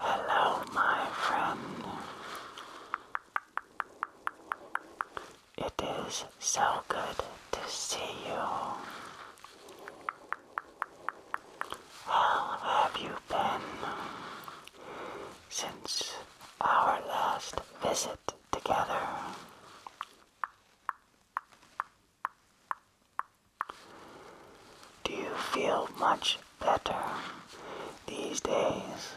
Hello, my friend. It is so good to see you. How have you been since our last visit together? Do you feel much better these days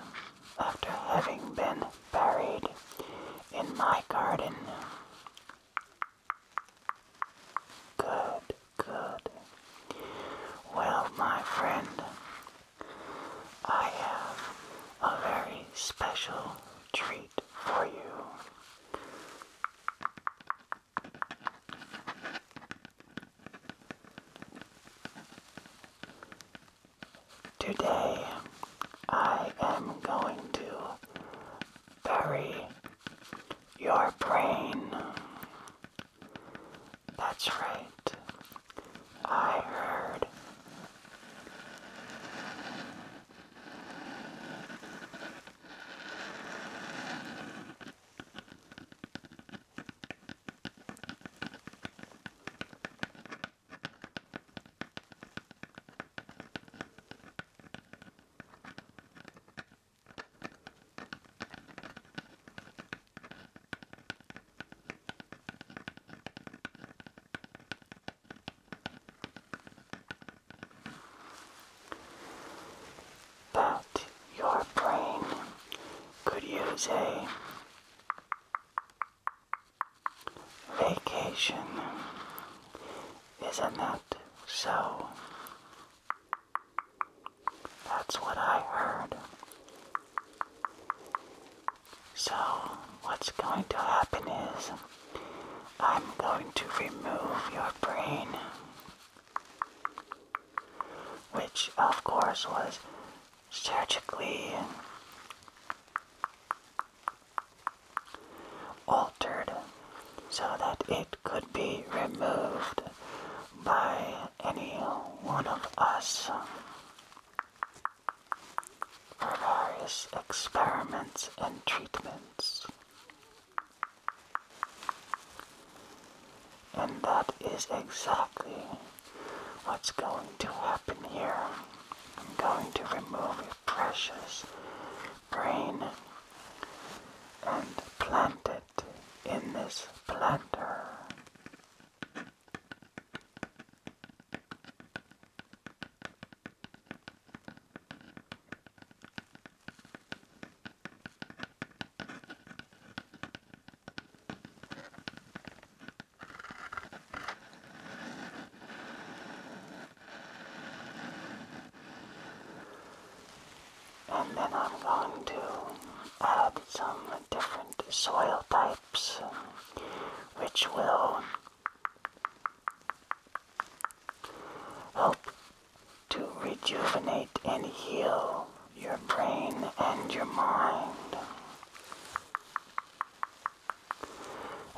after having been buried in my garden? Good, good. Well, my friend, I have a very special treat for you. Today, I am going to bury your brain. That's right. I heard. But your brain could use a Vacation is not nut, so that's what I heard. So, what's going to happen is I'm going to remove your brain, which of course was surgically altered so that it could be removed by any one of us for various experiments and treatments. And that is exactly what's going to happen here. I'm going to remove precious brain and plant it in this planter. And then I'm going to add some different soil types which will help to rejuvenate and heal your brain and your mind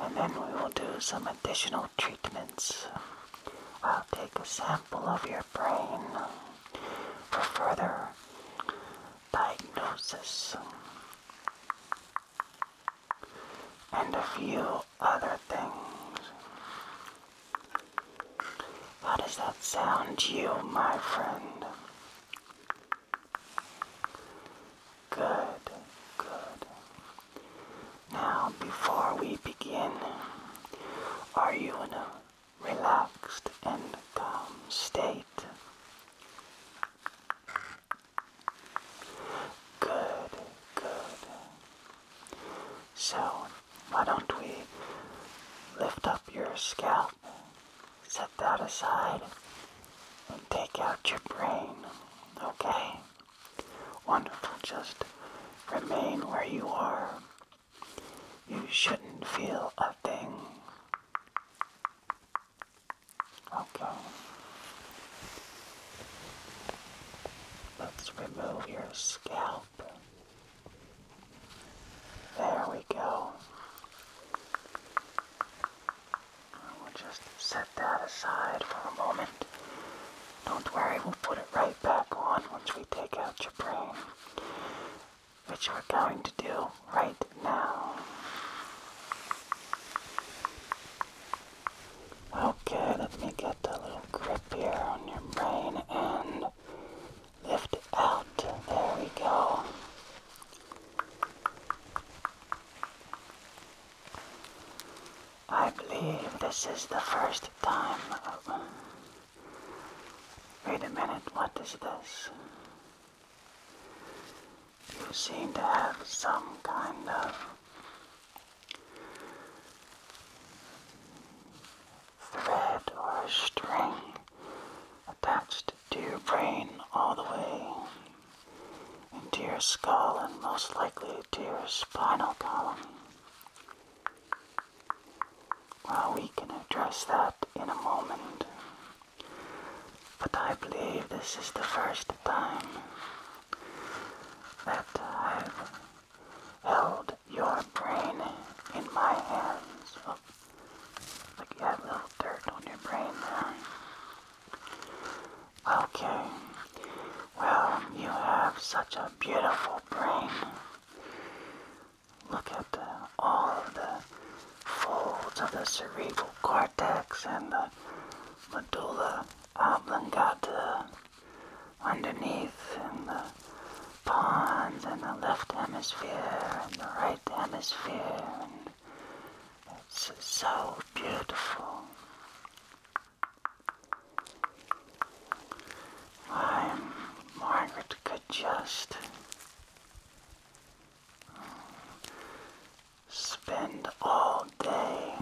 and then we will do some additional treatments. I'll take a sample of your brain for further diagnosis and a few other things. How does that sound you, my friend? Good, good. Now, before we begin, are you in a relaxed and calm state? Good, good. So, why don't we lift up your scalp, set that aside, and take out your brain, okay? Wonderful, just remain where you are. You shouldn't feel a thing. Okay. Let's remove your scalp. There we go we will just set that aside for a moment. Don't worry, we'll put it right back on once we take out your brain, which we're going to do right now. Okay, let me get a little grip here on your brain and lift it out. There we go. I believe this is the first time. Wait a minute, what is this? You seem to have some kind of thread or string attached to your brain all the way into your skull and most likely to your spinal column. Well, we can address that in a moment, but I believe this is the first time that I've held your brain in my hands. Oh, like you have a little dirt on your brain there. Okay. Well, you have such a beautiful brain. Look at the, all the folds of the cerebral cortex and the medulla oblongata underneath, and the pons, and the left hemisphere, and the right hemisphere. it's so beautiful. I'm Margaret Goodjust. Spend all day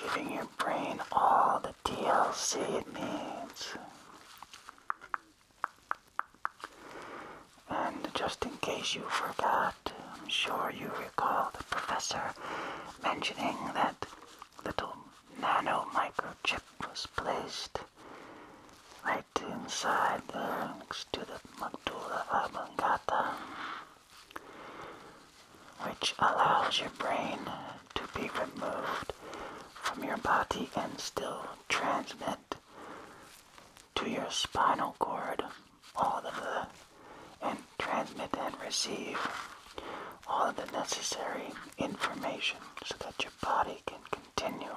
giving your brain all the DLC it needs. And just in case you forgot, I'm sure you recall the professor mentioning that little nano microchip was placed right inside the next to the medulla oblongata, which allows your brain to be removed from your body and still transmit to your spinal cord all of the and transmit and receive all of the necessary information so that your body can continue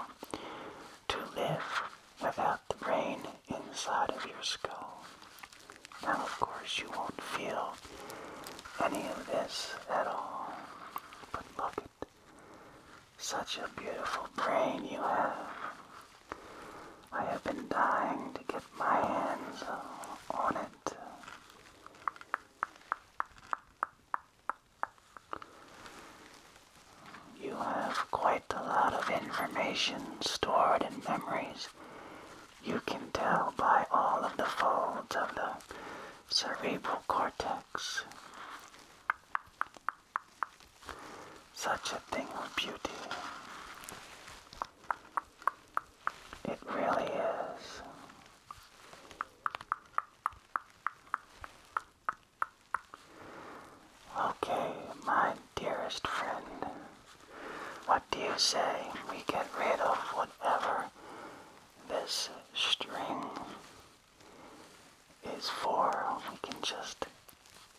to live without the brain inside of your skull. Now, of course, you won't feel any of this at all, but look at such a beautiful brain you have. I have been dying to get my hands on it. You have quite a lot of information stored in memories. You can tell by all of the folds of the cerebral cortex. Such a thing of beauty. It really is. Okay, my dearest friend, what do you say we get rid of whatever this string is for? We can just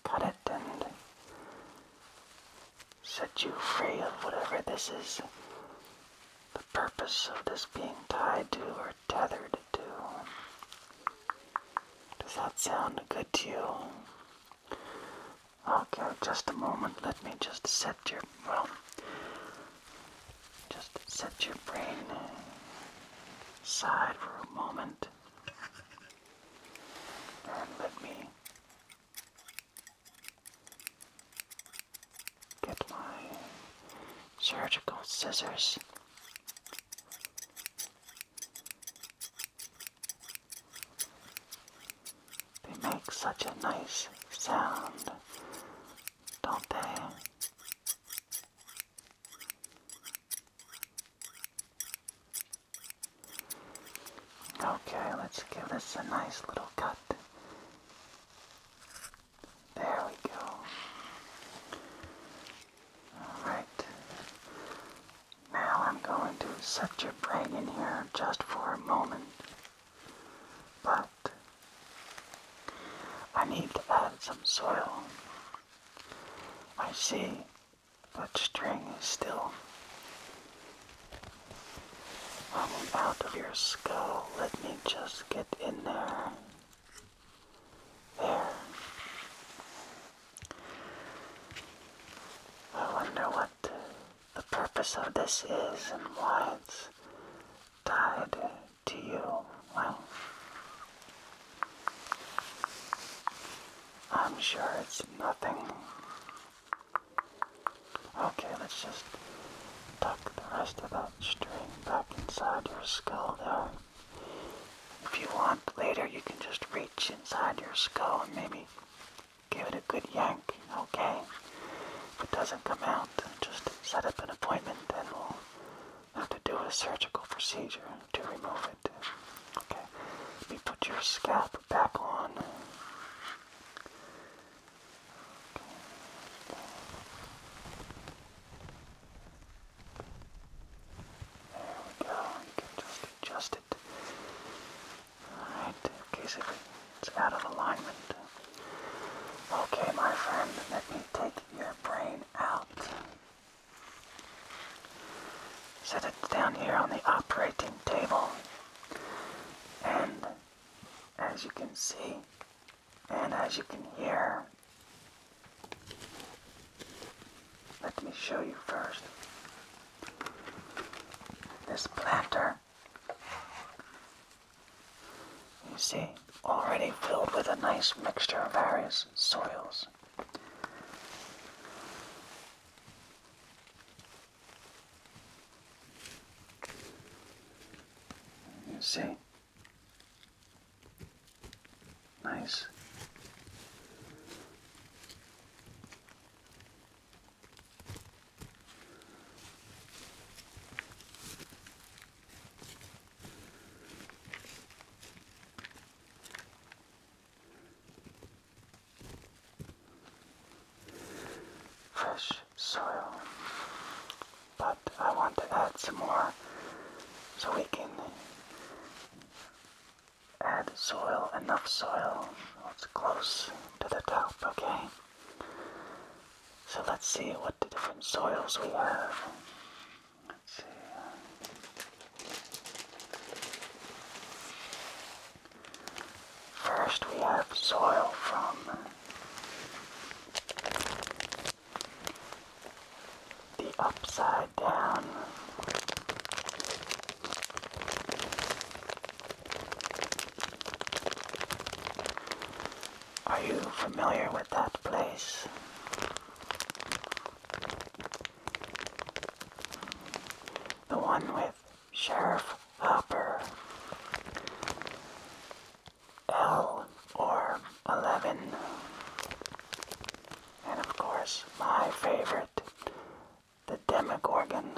cut it and set you free of whatever this is the purpose of this being tied to or tethered to. Does that sound good to you? Okay, just a moment. Let me just set your, well, just set your brain aside for a moment. And let me get my surgical scissors. They make such a nice sound, don't they? Okay, let's give this a nice little cut. There we go. Alright. Now I'm going to set your brain in here just for a moment. But I need to add some soil. I see that string is still hanging out of your skull. Let me just get in there. There. I wonder what the purpose of this is and why it's tied to you. Well, I'm sure it's nothing. Okay, let's just tuck the rest of that string back inside your skull there. If you want later, you can just reach inside your skull and maybe give it a good yank, okay? If it doesn't come out, just set up an appointment and we'll have to do a surgical procedure to remove it. Okay, let me put your scalp back on. There we go. just adjust it. Alright, in case it's out of alignment. Okay, my friend, let me take your brain out set it down here on the operating table and as you can see and as you can hear let me show you first this planter you see already filled with a nice mixture of various soils you see? Nice fresh soil. But I want to add some more so we can add soil, enough soil. It's close to the top, okay? So let's see what the different soils we have. Let's see. First we have soil from the upside down. Are you familiar with that place? The one with Sheriff Hopper. L or 11. And of course, my favorite, the Demogorgon.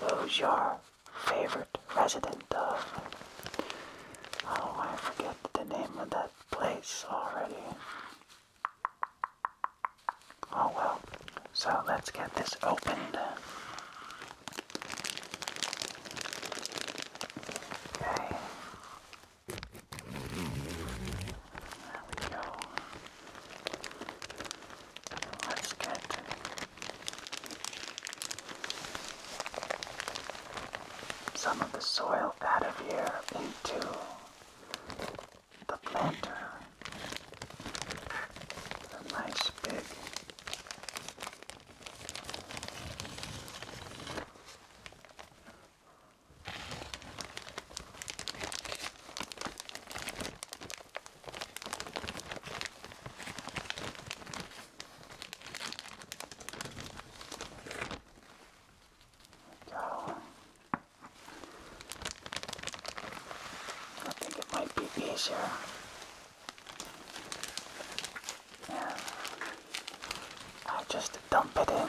Those are favorite resident of. Oh, I forget the name of that place already. Oh well. So let's get this opened. Okay. There we go. Let's get some of the soil out of here into the planter. A nice big go. I think it might be easier. Yeah. I just dump it in.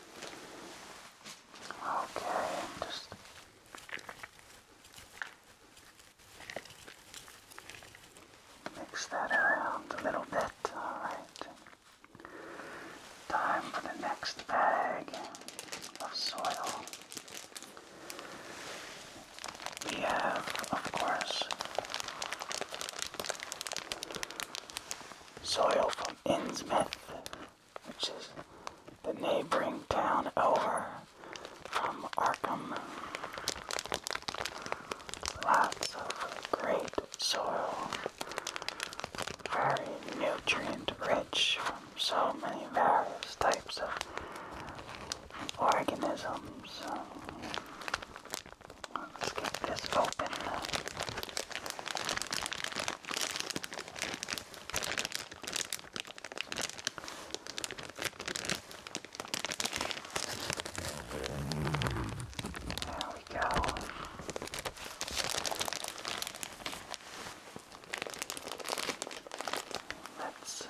Okay, just mix that around a little bit. All right. Time for the next bag of soil. We have, of course, soil from Innsmouth, which is the neighboring town over from Arkham. Lots of great soil, very nutrient rich from so many various types of organisms. Let's get this open. There we go. Let's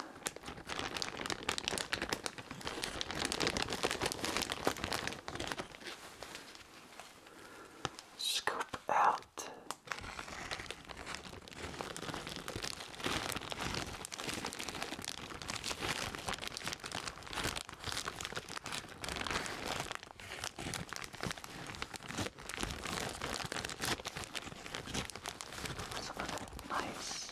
scoop out some of the nice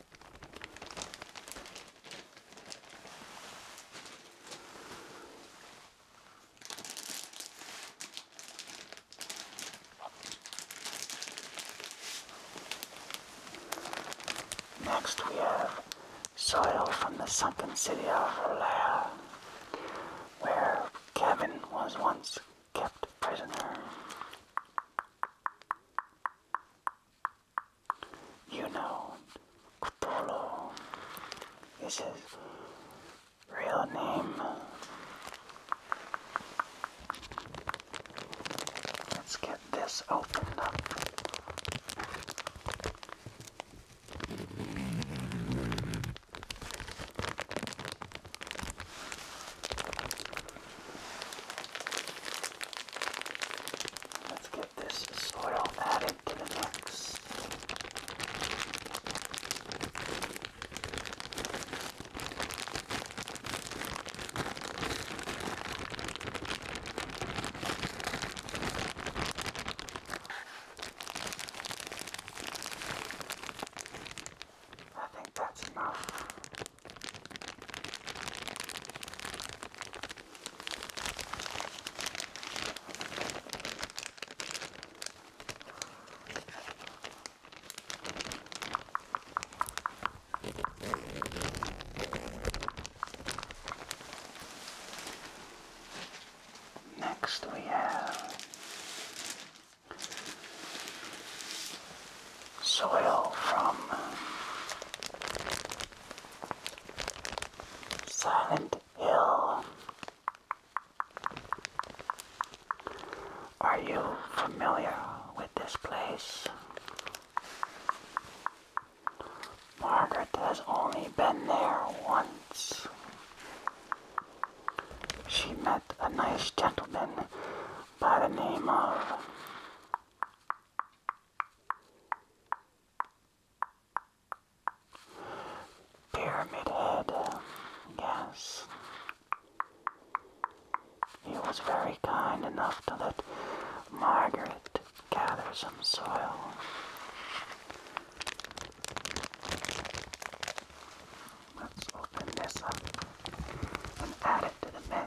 Next we have soil from the sunken city of Lair, where Kevin was once kept prisoner. You know, Cthulhu is his real name. Let's get this opened up. Let's get this soil added to the mix. I think that's enough. Next we have soil from Silent Hill. Are you familiar with this place? Margaret has only been there once. She met a nice gentleman by the name of Pyramid Head, yes. He was very kind enough to let Margaret gather some soil. Let's open this up and add it to the mix.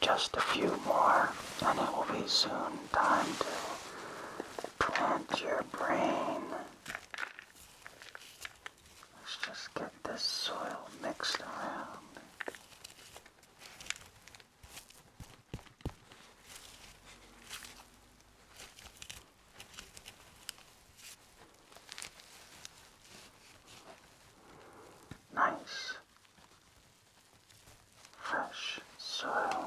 Just a few more, and it will be soon time to plant your brain. Let's just get this soil mixed around. Nice fresh soil.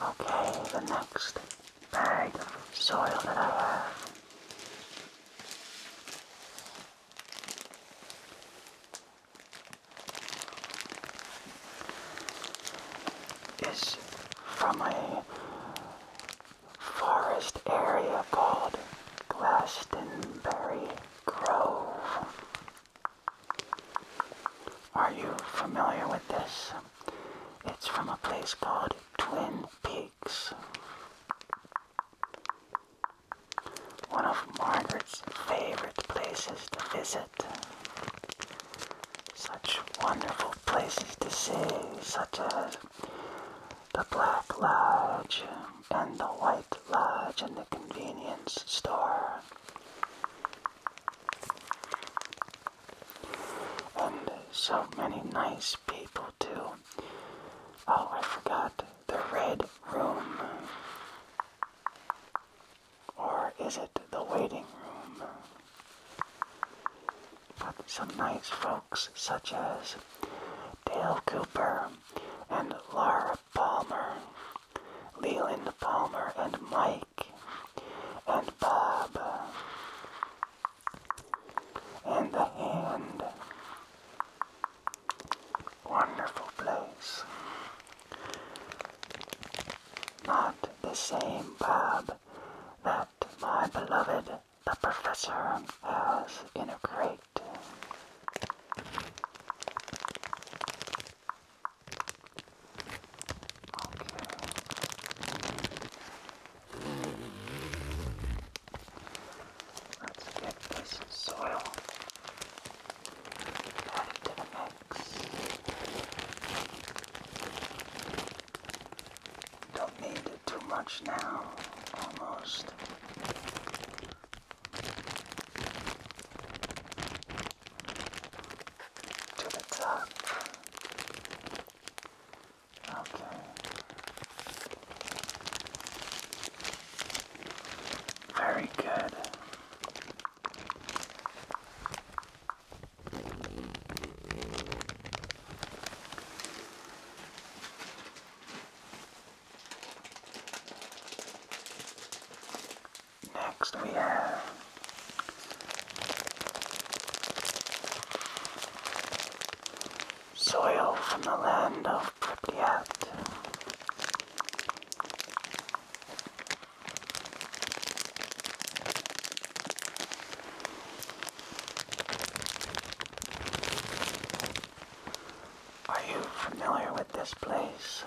Okay, the next bag of soil that I have is from a forest area called Glastonbury Grove. Are you familiar with this? It's from a place called Twin Peaks. One of Margaret's favorite places to visit. Such wonderful places to see, such as the Black Lodge and the White Lodge and the convenience store. And so many nice people too. Oh, I forgot the Red Room? Or is it the Waiting Room? But some nice folks such as Dale Cooper and Laura Palmer, Leland Palmer and Mike and Bob and the Hand Wonderful place. Not the same pub that my beloved the professor has in a crate. Okay. Let's get this soil added to the mix. Don't need it too much now, almost. To the top. Okay. Very good. Next, we have soil from the land of Pripyat. Are you familiar with this place?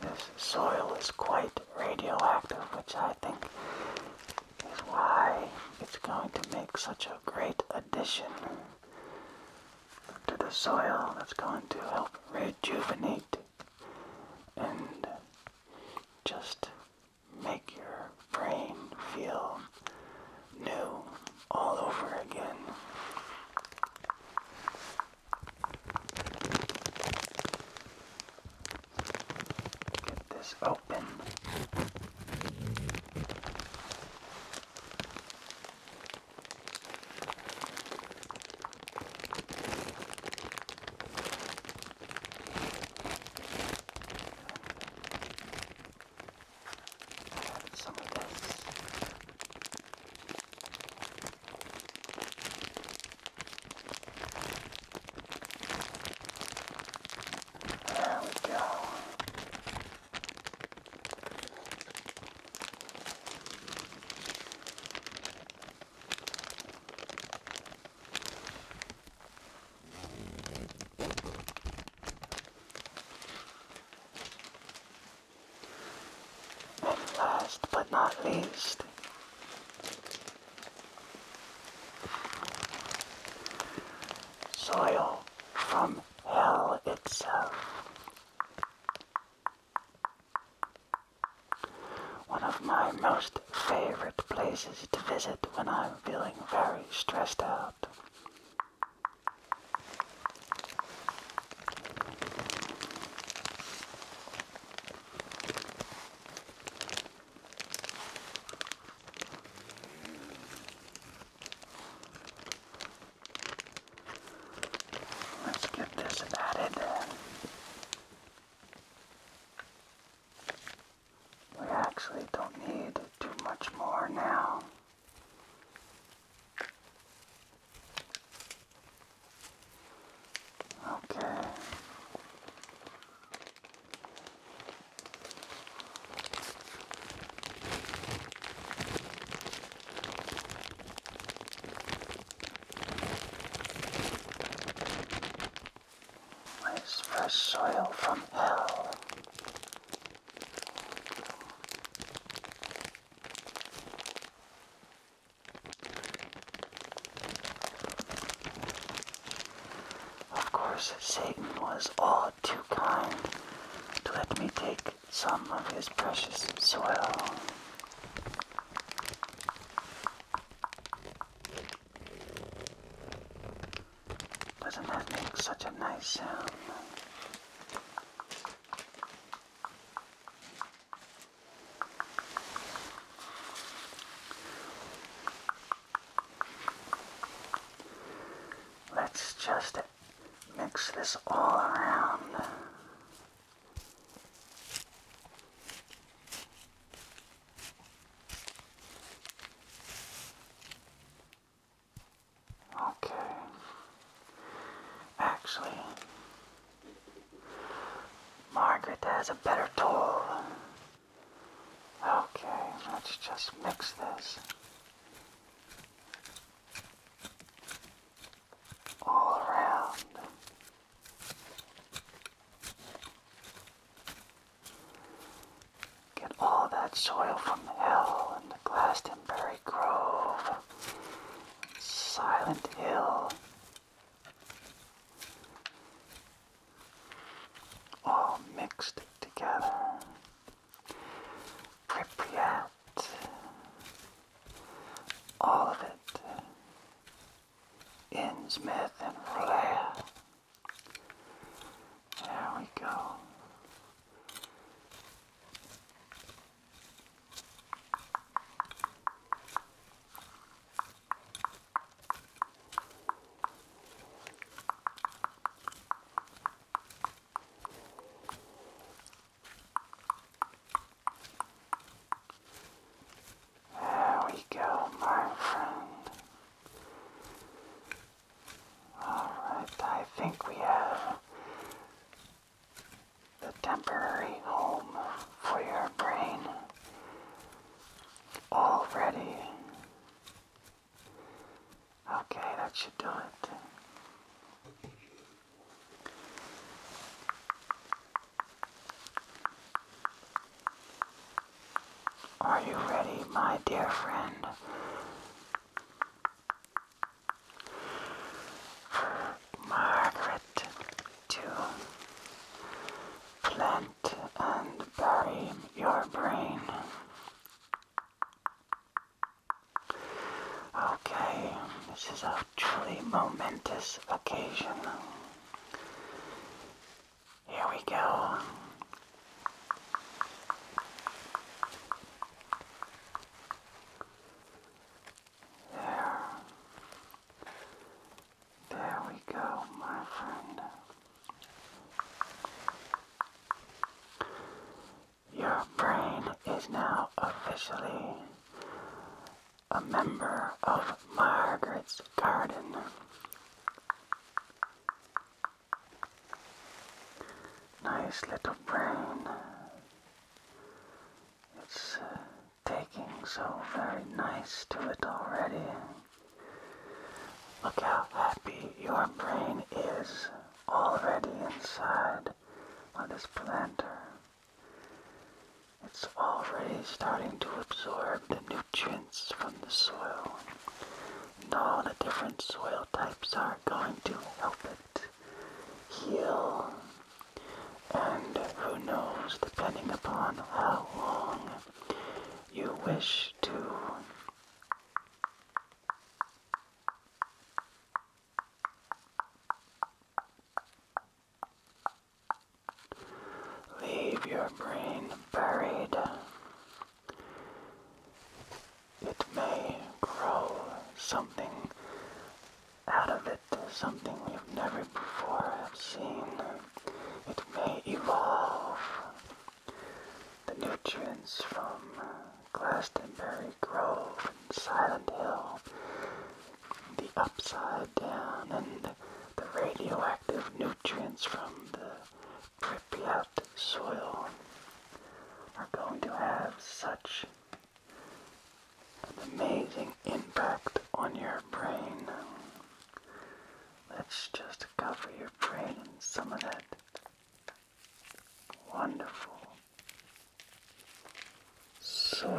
This soil is quite radioactive, which I think is why it's going to make such a great addition to the soil that's going to help rejuvenate and just make your brain feel new all over again. Get this open. Some of this. There we go. And last but not least, soil from hell itself. One of my most favorite places to visit when I'm feeling very stressed out. Let's get this added. We actually don't need too much more now. Okay. Life's fresh soil from hell. Of course, Satan was all too kind to let me take some of his precious soil. Doesn't that make such a nice sound? Let's just mix this all around. Okay. Actually, Margaret has a better tool. Okay, let's just mix this all around. Get all that soil from the hill and the Glastonbury Grove, Silent Hill all mixed together. Pripyat, all of it, Innsmouth and Vlair. There we go. There we go, my friend. Alright, I think we have the temporary home for your brain already Okay, that should do it. Are you ready, my dear friend, for Margaret to plant and bury your brain Okay, this is a truly momentous occasion. Here we go. There. There we go, my friend. Your brain is now officially a member of Margaret's garden. Nice little brain. It's uh, taking so very nice to it already. Look how happy your brain is already inside on this planter. It's already starting to absorb the nutrients from the soil. And all the different soil types are going to help it heal. And who knows, depending upon how long you wish to Leave your brain buried. It may grow something out of it, something you have never before have seen. It may evolve. The nutrients from Glastonbury Grove and Silent Hill, the upside down, and the radioactive nutrients from the Pripyat soil are going to have such an amazing impact on your brain. Let's just cover your brain in some of that wonderful soil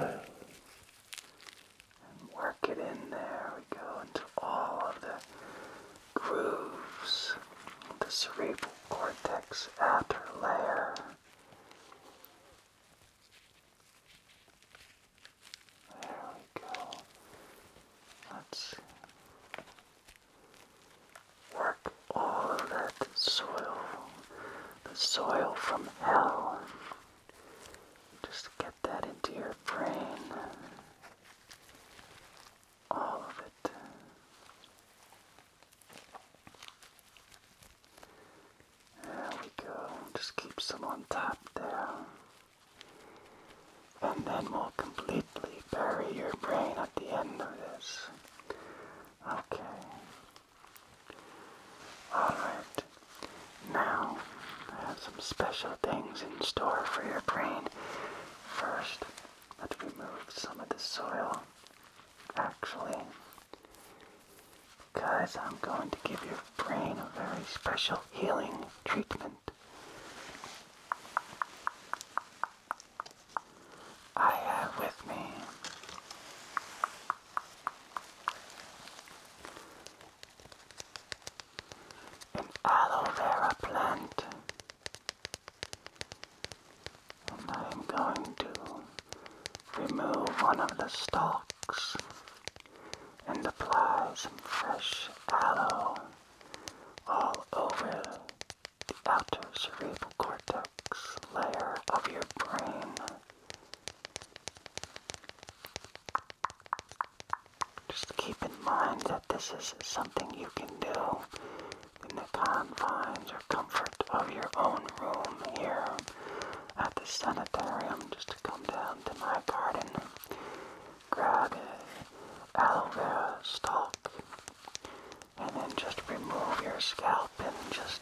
and work it in there. We go into all of the grooves, the cerebral cortex outer layer. There we go. Let's Work all that soil, the soil from hell. Just get that into your brain. All of it. There we go. Just keep some on top there and then we'll completely bury your brain at the end of this. Okay. Alright. Now, I have some special things in store for your brain. First, let's remove some of the soil. Actually, because I'm going to give your brain a very special healing treatment. I have with me an aloe vera plant, and I am going to remove one of the stalks and apply some fresh aloe all over the outer cerebral cortex layer of your brain. Just keep in mind that this is something you can do in the confines or comfort of your own room here at the sanitarium. Just to come down to my garden grab a aloe vera stalk and then just remove your scalp and just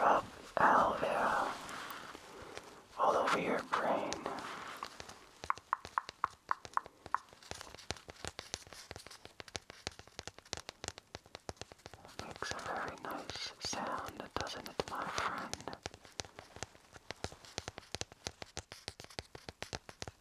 rub aloe vera all over your brain. makes a very nice sound, doesn't it, my friend?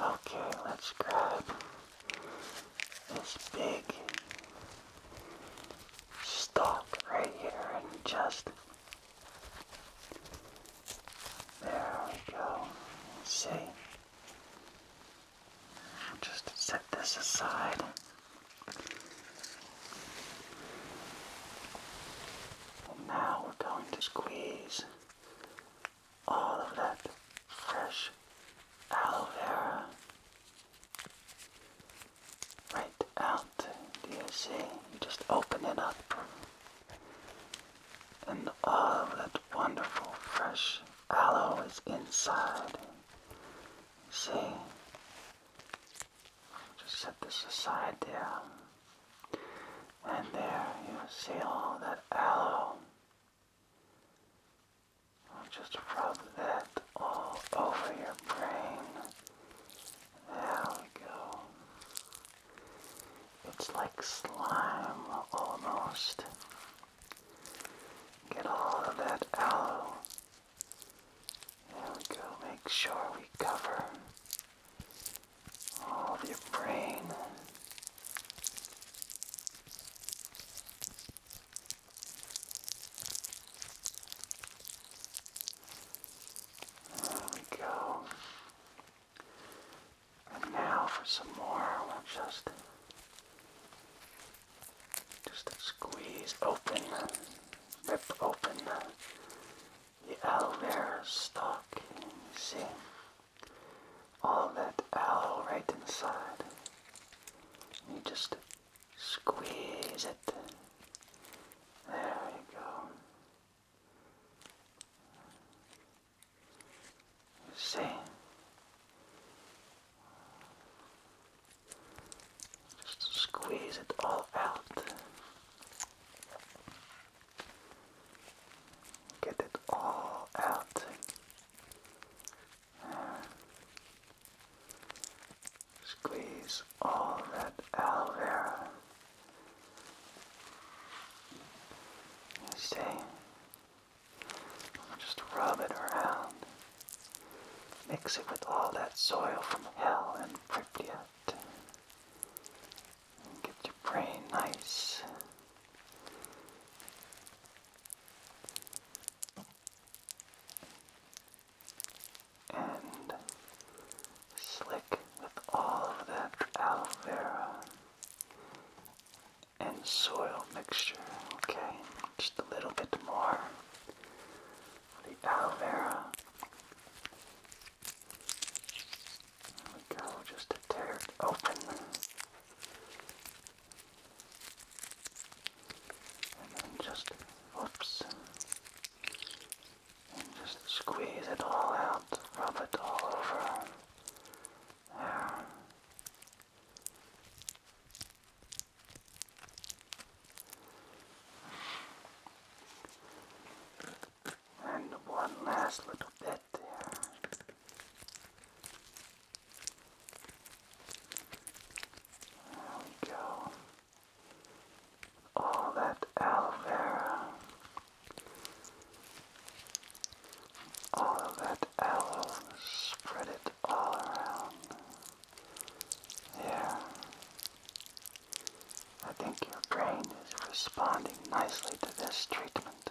Okay, let's grab this big stalk right here and just. There we go. See? just set this aside. And now we're going to squeeze all of that fresh aloe vera right out. Do you see? You just open it up. And all of that wonderful fresh aloe is inside. See? Just set this aside there. And there you see all that aloe I'll just rub that all over your brain. There we go. It's like slime almost. Get all of that aloe. There we go. Make sure we cover all of your brain. There we go. And now for some more, we'll just just squeeze open, rip open the aloe vera stalk. see, all that l right inside. You just squeeze it. There you go. see? Just squeeze it all out. Get it all out. Squeeze all that aloe vera. see? Just rub it around. Mix it with all that soil from hell and Pripyat. And get your brain nice and slick with all that aloe vera and soil mixture. Okay, just a little bit more the aloe vera. There we go, just tear it open and then just, whoops, just squeeze it all out, rub it all over. There. And one last little bit there. There we go. All that aloe vera. All of that aloe, spread it all around. There. I think your brain is responding nicely to this treatment.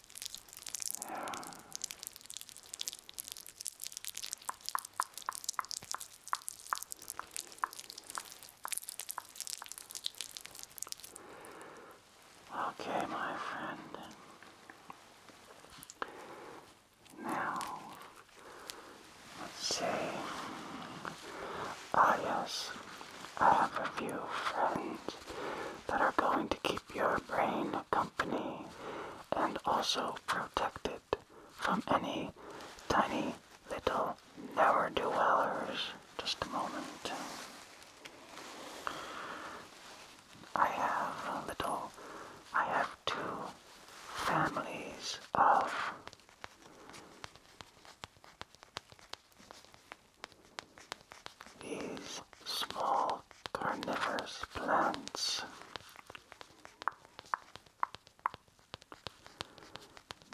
Okay, my friend. Now, let's see. Ah, yes. I have a few friends that are going to keep your brain company and also protect it from any tiny little never do wellers. Just a moment. I have little, I have two families of these small carnivorous plants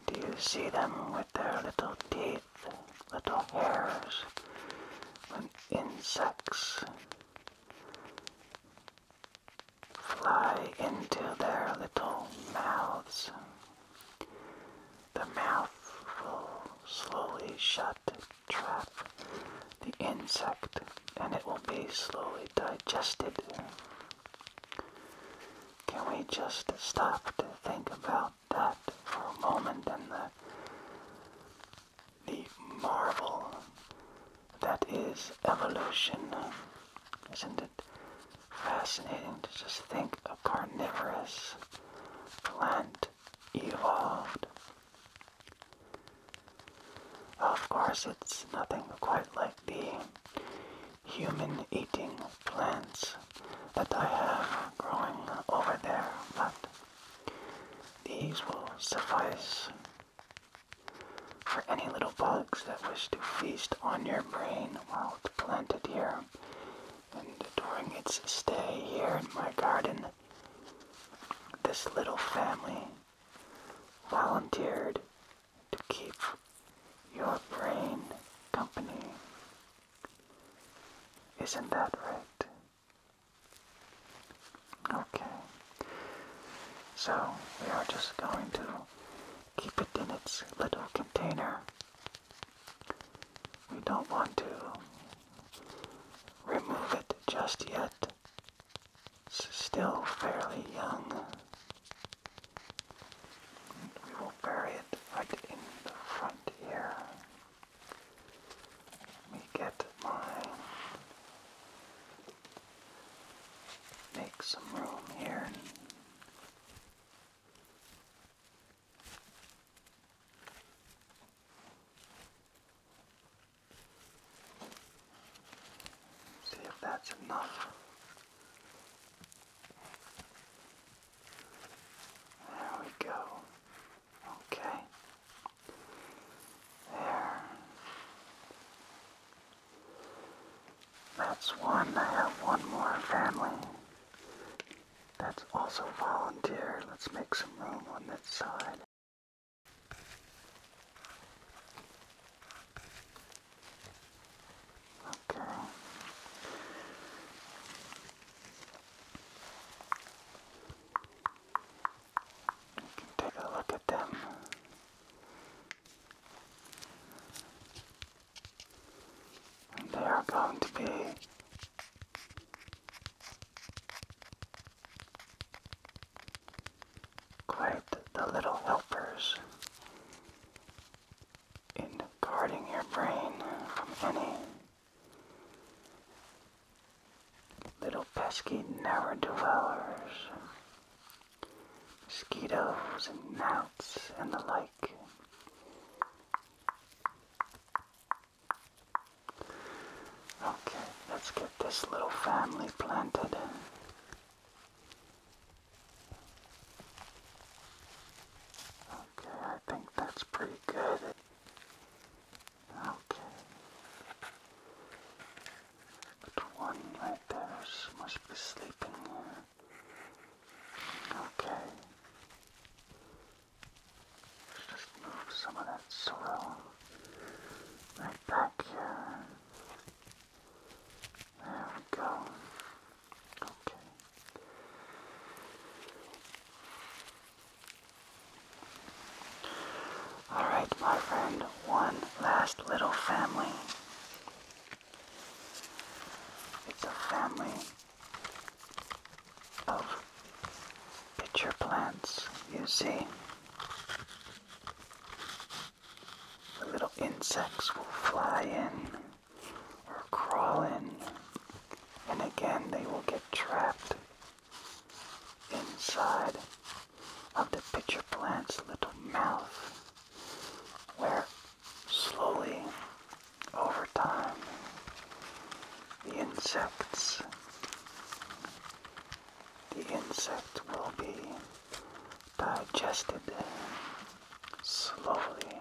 do you see them with their little teeth, little hairs, when insects fly into their little mouths? The mouth will slowly shut, trap the insect, and it will be slowly digested. Can we just stop to think about that for a moment and the the marvel that is evolution. Isn't it fascinating to just think a carnivorous plant evolved. Of course, it's nothing quite like the human eating plants that I have growing over there, but these will suffice for any little bugs that wish to feast on your brain while it's planted here and during its stay here in my garden, this little family volunteered to keep your brain company. Isn't that right? Okay. So we are just going to keep it in its little container we don't want to remove it just yet. still fairly young. We will bury it right in the front here. Let me get my. Make some room here. See if that's enough. There we go. Okay. There. That's one. I have one more family. That's also volunteer. Let's make some room on this side. Okay. take a look at them. they are going to be Quite the little helpers in guarding your brain from any little pesky never devourers mosquitoes and gnats and the like. Okay, let's get this little family planted. Okay, I think that's pretty good. Okay. But one right there must be sleeping. Okay. Let's just move some of that soil right back here. There we go. Okay. Alright, my friend, one last little family. It's a family of pitcher plants you see. The little insects will fly in or crawl in, and again they will get trapped inside of the pitcher plant's little mouth, where slowly over time, the insects, the insect will be digested slowly.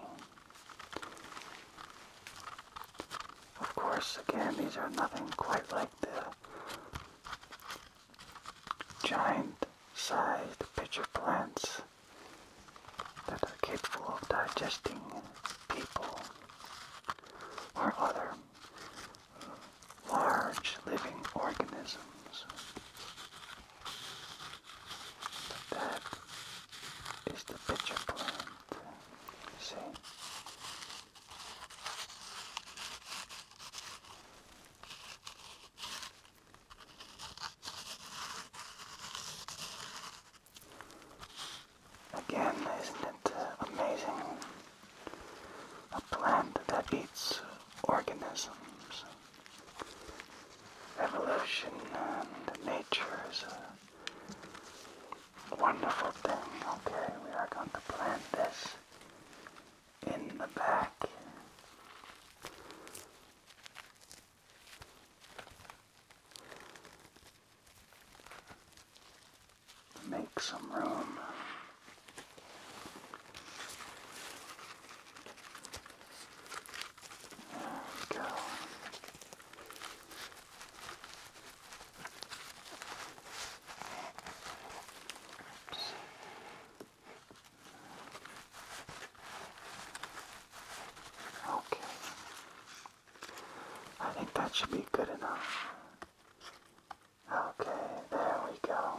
Of course, again, these are nothing quite like the giant-sized pitcher plants that are capable of digesting people or other large living organisms. That is the pitcher plant. See? Again, isn't it uh, amazing? A plant that eats organisms. Evolution and nature is a wonderful thing. Okay, we are going to plant this in the back. Make some room. There we go. Okay. I think that should be good enough. Okay, there we go.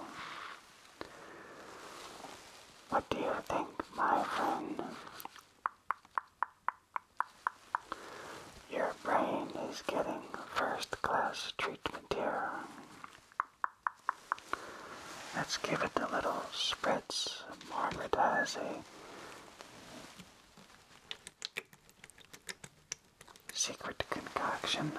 What do you think, my friend? Your brain is getting first class treatment here. Let's give it a little spritz. Margaret Secret concoction.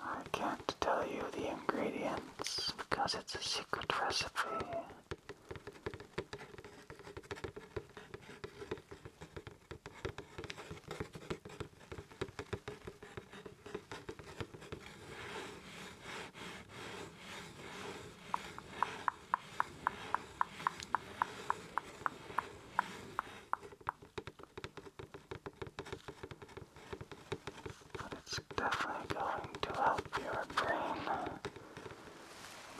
I can't tell you the ingredients because it's a secret recipe. But it's definitely going to help your brain.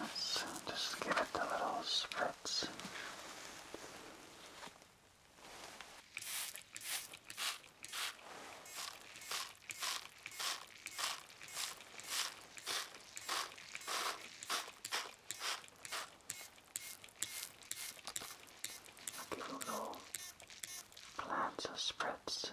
Let's just give it the little spritz. Beautiful plants or spreads.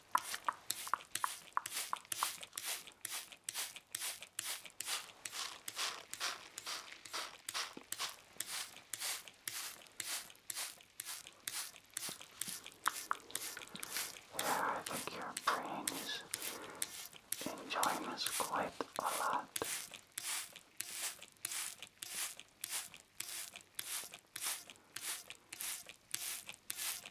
Yeah, I think your brain is enjoying this quite a lot.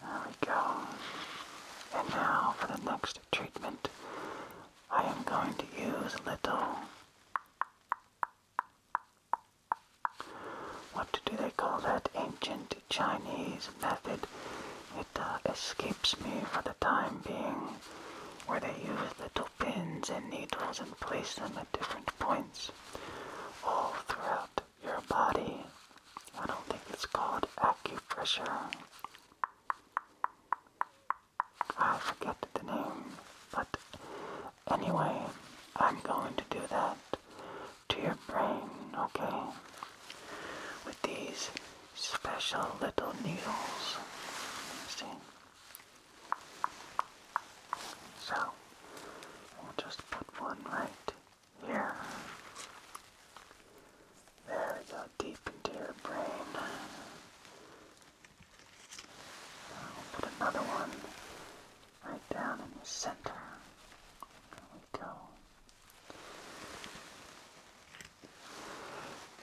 There we go. And now for the next treatment, I am going to use little. What do they call that ancient Chinese method? It uh, escapes me for the time being, where they use little pins and needles and place them at different points all throughout your body. I don't think it's called acupressure. I forget the name, but anyway, I'm going to do that to your brain, okay? With these special little needles. See? So, we'll just put one right here. There we go, deep into your brain. i put another one right down in the center. There we go.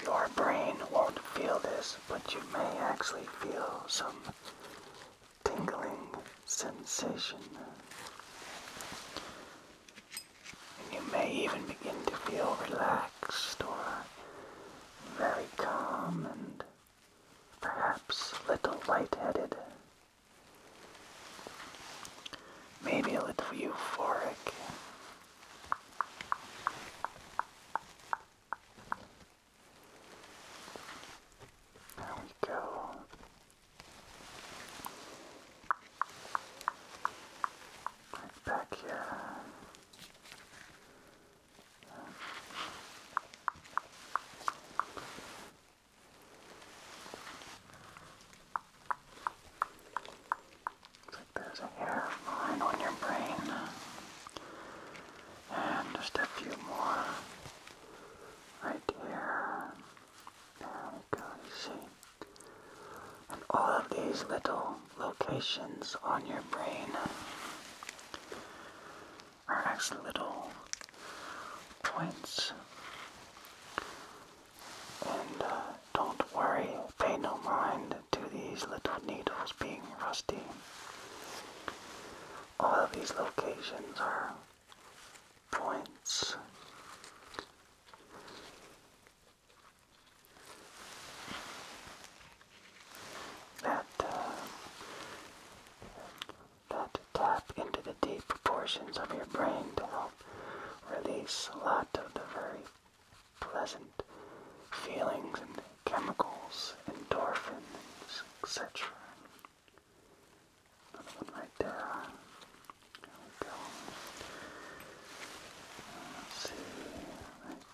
Your brain won't feel this, but you may actually feel some tingling sensation. And you may even begin to feel relaxed or very calm and perhaps a little lightheaded. Maybe a little euphoric. There we go. Right back here. Looks like there's a hair line on your brain. And just a few more right here. There we go, see. And all of these little locations on your brain are actually little points. And uh, don't worry, pay no mind to these little needles being rusty. All of these locations are points. That, uh, that tap into the deep portions of your brain to help release a lot of the very pleasant feelings and chemicals, endorphins, etc right there. There we go. see,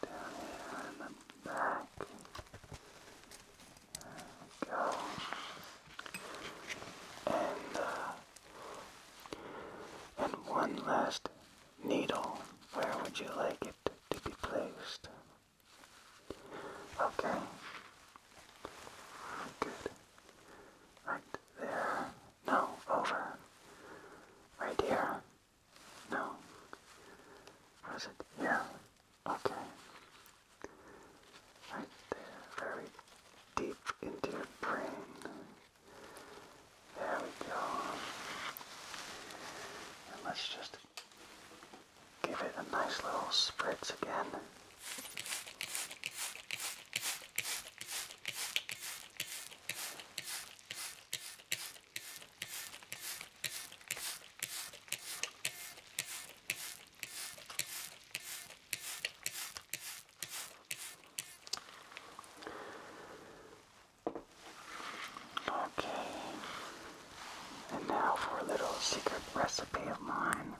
down here in the back. go. And, uh, and one last needle. Where would you like it to be placed? Okay. Good. Right there. No, over. Right here. No. Was it here? Okay. Right there. Very deep into your brain. There we go. And let's just Give it a nice little spritz again. Okay, and now for a little secret recipe of mine.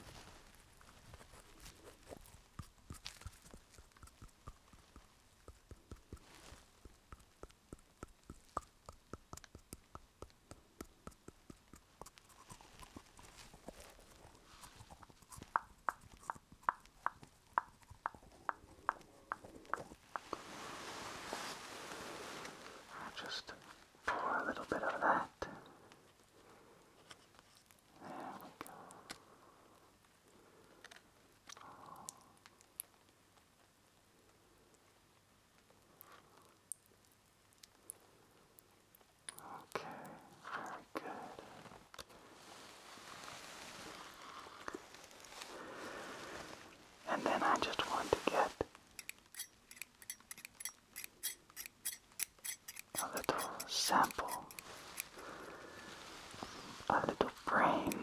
I'll just pour a little bit of that there we go. Okay, very good. And then I just want to get a little sample, a little brain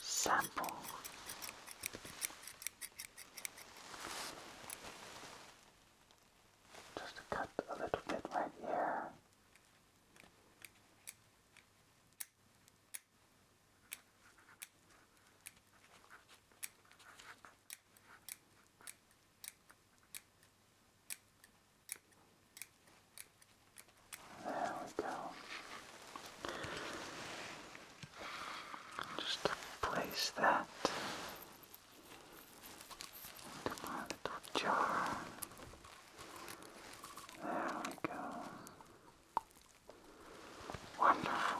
sample. Just to cut a little bit right here. There we go. Just place that into my little jar. There we go. Wonderful.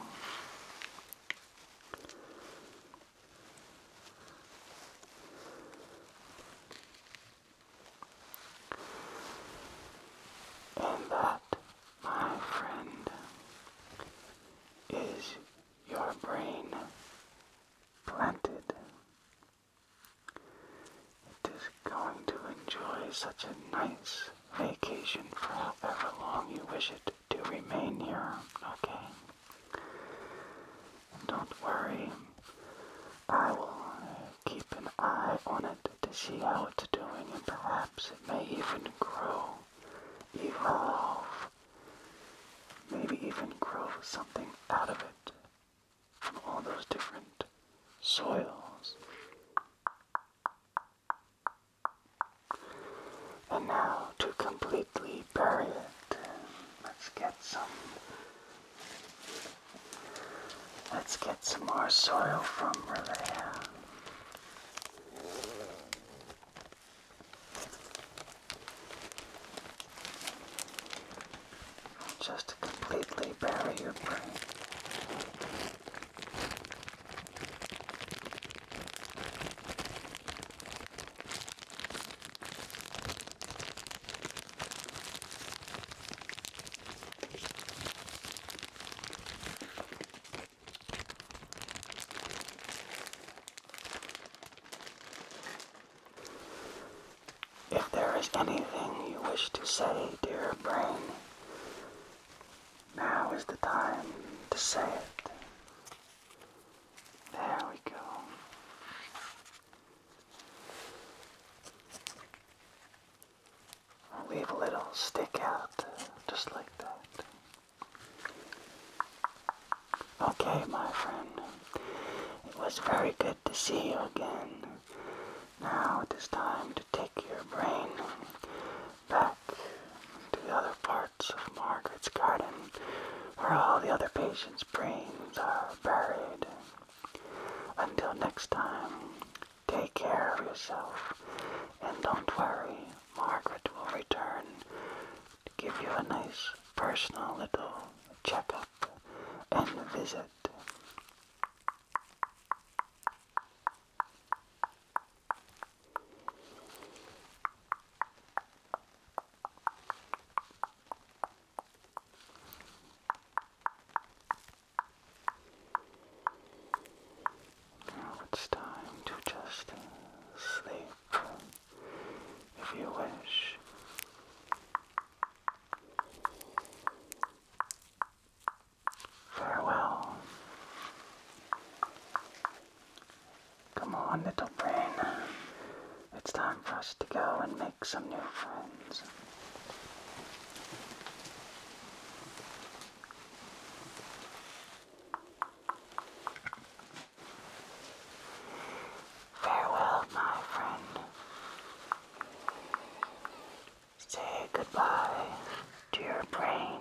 And that, my friend, is your brain planted. It is going to enjoy such a nice vacation for however long you wish it to remain here, okay? don't worry, I will keep an eye on it to see how it's doing, and perhaps it may even grow, evolve, maybe even grow something out of it from all those different soils. And now to completely bury it, let's get some let's get some more soil from Relea. Just to completely bury your brain. If there is anything you wish to say, dear brain, now is the time to say it. There we go. I'll leave a little stick out, just like that. Okay, my friend. It was very good to see you again. Now it is time to take your brain back to the other part of Margaret's garden where all the other patients' brains are buried. Until next time, take care of yourself and don't worry, Margaret will return to give you a nice personal little checkup and visit. Now it's time to just sleep if you wish. Farewell. Come on, little brain. It's time for us to go and make some new friends. Farewell, my friend. Say goodbye to your brain.